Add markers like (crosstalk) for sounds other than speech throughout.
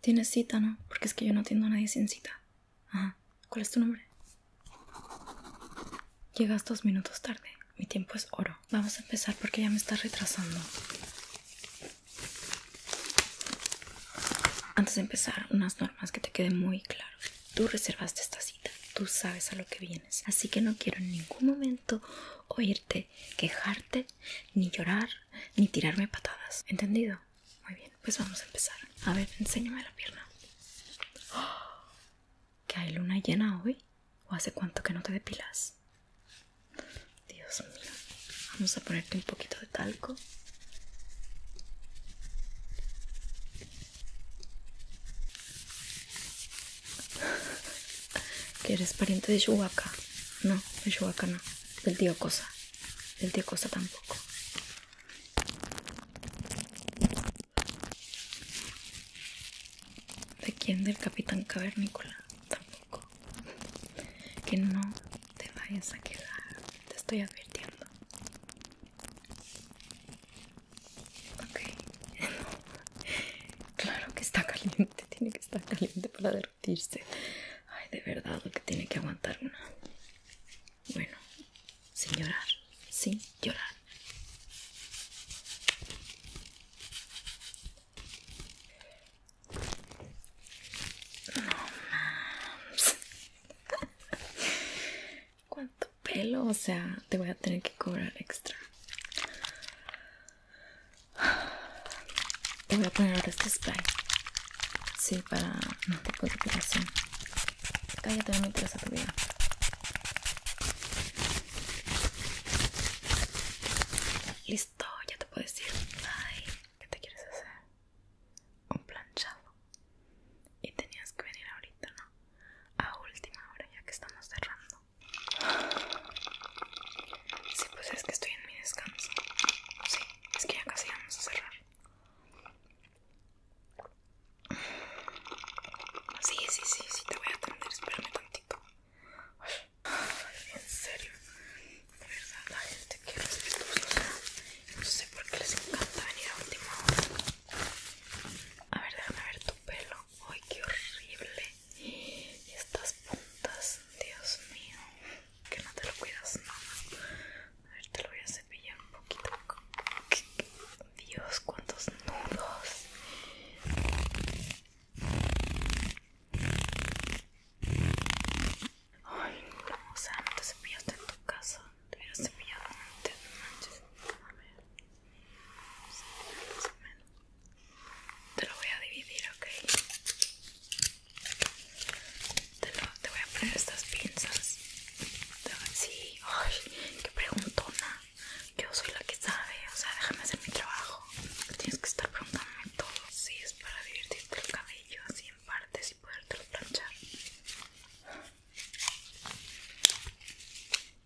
Tienes cita, ¿no? Porque es que yo no atiendo a nadie sin cita. Ajá. ¿Cuál es tu nombre? Llegas dos minutos tarde. Mi tiempo es oro. Vamos a empezar porque ya me estás retrasando. Antes de empezar, unas normas que te quede muy claro. Tú reservaste esta cita. Tú sabes a lo que vienes. Así que no quiero en ningún momento oírte quejarte ni llorar, ni tirarme patadas. ¿Entendido? Muy bien, pues vamos a empezar. A ver, enséñame la pierna. (gasps) ¿Que hay luna llena hoy? ¿O hace cuánto que no te depilas? Dios mío. Vamos a ponerte un poquito de talco. (laughs) ¿Que eres pariente de Chihuahua? No, de Chihuahua no del tío Cosa. Del tío Cosa tampoco. ¿De quién? Del capitán cavernícola. Tampoco. Que no te vayas a quedar. Te estoy advirtiendo. Ok. (laughs) claro que está caliente. Tiene que estar caliente para ver. Ay, de verdad, lo que tiene que aguantar una. Bueno, sin llorar, sin llorar. No (laughs) ¿Cuánto pelo? O sea, te voy a tener que cobrar extra. Te voy a poner ahora este spray. Sí, para no tipo de depilación. Cállate, tengo me interesa tu vida. Listo, ya te puedo decir. Bye ¿qué te quieres hacer? Un planchado. Y tenías que venir ahorita, ¿no? A última hora, ya que estamos cerrando. Sí, pues es que estoy en mi descanso. Sí, es que ya casi vamos a cerrar. Sí, sí, sí, sí, te voy a atender, espérame tantito. Ay, en serio, de verdad, la gente que respetuosa. No sé por qué les encanta venir a última hora. A ver, déjame ver tu pelo. Ay, qué horrible. Y estas puntas, Dios mío, que no te lo cuidas nada. A ver, te lo voy a cepillar un poquito. Dios, cuántos nudos. Ay, no, o sea, no te cepillaste en tu casa. Te hubieras cepillado antes, no manches. A ver. Te lo voy a dividir, ok. Te, lo, te voy a poner estas pinzas. Sí, ay, qué preguntona. Yo soy la que sabe, o sea, déjame hacer mi trabajo. Tienes que estar preguntándome todo. Si es para divertirte el cabello así en partes y podértelo planchar.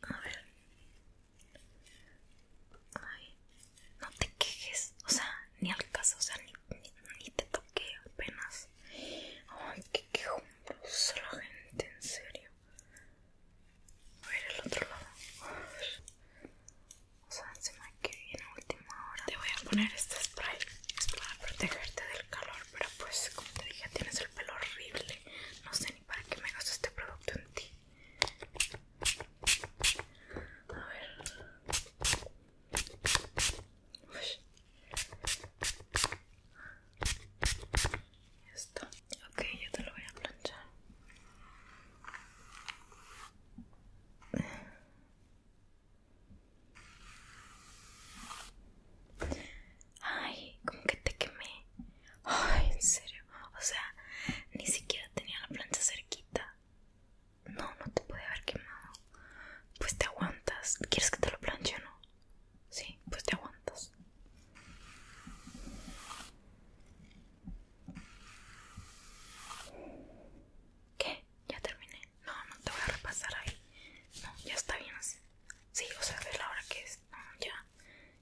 A ver no te quejes, o sea, ni al caso, o sea, ni, te toqué apenas. Ay, que quejumbrosa la gente, en serio. A ver el otro lado. O sea, encima que viene última hora. Te voy a poner este spray. Es para protegerte del calor, pero pues como te dije, tienes el pelo horrible. No sé para que me gasto este producto en ti. A ver. Ok, yo te lo voy a planchar. Ay, como que te quemé. Ay, en serio. O sea, ni siquiera tenía la plancha cerquita. No, no te puede haber quemado. Pues te aguantas. ¿Quieres que te lo planche o no? Sí, pues te aguantas. ¿Qué? Ya terminé. No, no te voy a repasar ahí. No, ya está bien así. Sí, o sea, ve la hora que es no, ah, ya,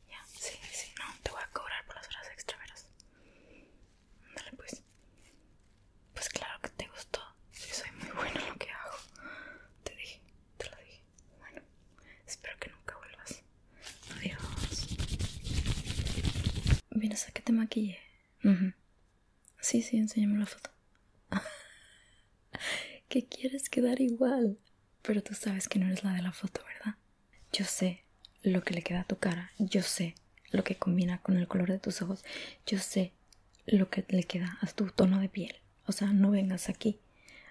ya, sí, sí, no, te voy a cobrar por las horas extra, verás. Dale, pues. Pues claro que te gustó. Que soy muy bueno en lo que hago. Te dije, te lo dije. Bueno, espero que nunca vuelvas. Adiós. ¿Vienes a que te maquille? Sí, sí, enséñame la foto. (laughs) que quieres quedar igual. Pero tú sabes que no eres la de la foto, ¿verdad? Yo sé lo que le queda a tu cara, yo sé lo que combina con el color de tus ojos, yo sé lo que le queda a tu tono de piel. O sea, no vengas aquí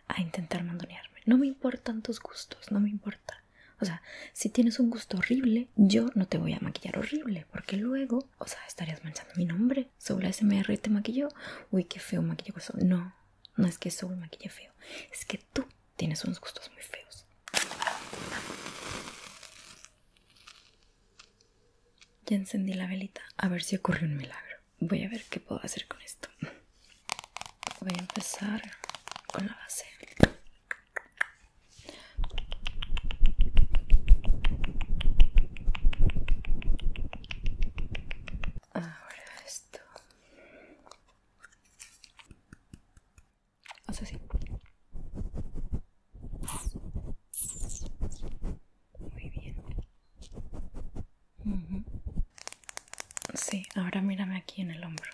a intentar mandonearme. No me importan tus gustos, no me importa. O sea, si tienes un gusto horrible, yo no te voy a maquillar horrible, porque luego o sea, estarías manchando mi nombre. ¿Sobre smrt te maquilló. Uy, qué feo que eso No, no es que soy maquille feo. Es que tú tienes unos gustos muy feos. Ya encendí la velita. A ver si ocurre un milagro. Voy a ver qué puedo hacer con esto. Voy a empezar con la base. Ahora esto. O sea, sí. Muy bien. Mhm. Sí, ahora mírame aquí en el hombro.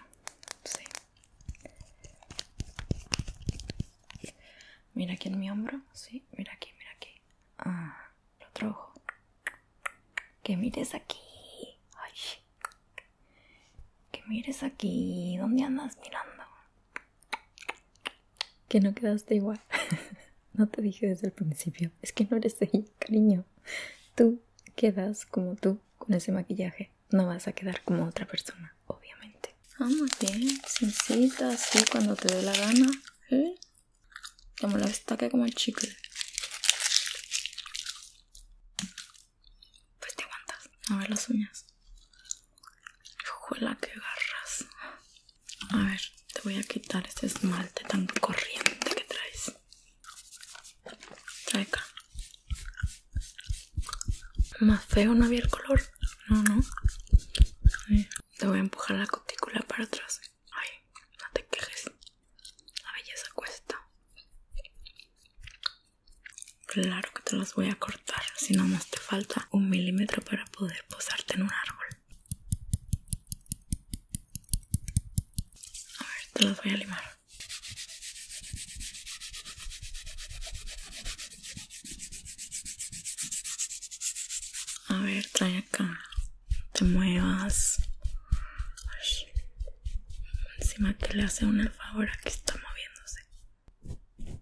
Sí. Mira aquí en mi hombro, sí, mira aquí, mira aquí. Ah, el otro ojo. Que mires aquí. Ay. Que mires aquí. ¿Dónde andas mirando? Que no quedaste igual. (laughs) no te dije desde el principio. Es que no eres ahí, cariño. Tú quedas como tú con ese maquillaje. No vas a quedar como otra persona obviamente. Vamos ah, bien, sencillita, así cuando te dé la gana. ¿Eh? Te destaque que como el chicle. Pues te aguantas. A ver las uñas. Ojalá que garras. A ver, te voy a quitar este esmalte tan corriente que traes. Trae acá. Más feo no había el color. No, no. Te voy a empujar la cutícula para atrás. Ay, no te quejes. La belleza cuesta. Claro que te las voy a cortar. Si no más te falta un milímetro para poder posarte en un árbol. A ver, te las voy a limar. A ver, trae acá. Te muevas. Encima que le hace una favor que está moviéndose.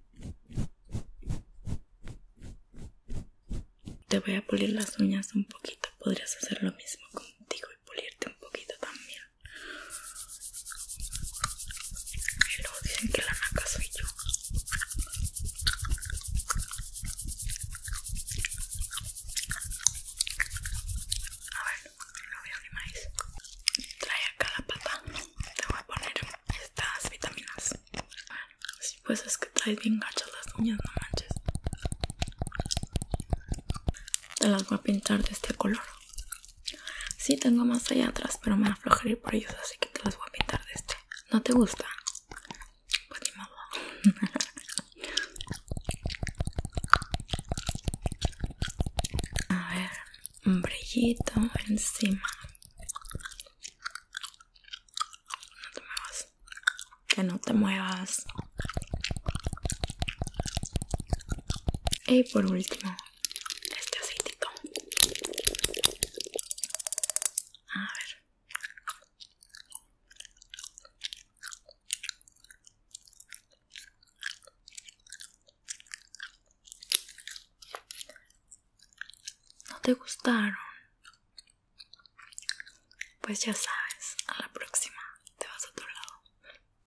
Te voy a pulir las uñas un poquito. Podrías hacer lo mismo contigo y pulirte un poquito también. Y dicen que la naca soy yo. A ver, no veo ni maíz Trae acá la pata. Te voy a poner estas vitaminas. Si pues es que traes bien gachas las uñas, no manches. Te las voy a pintar de este color. Sí, tengo más allá atrás, pero me aflojaré por ellos, así que te las voy a pintar de este. ¿No te gusta? Pues (laughs) a ver, un brillito encima. No te muevas. Que no te muevas. Y por último, este aceitito. A ver. ¿No te gustaron? Pues ya sabes, a la próxima te vas a otro lado.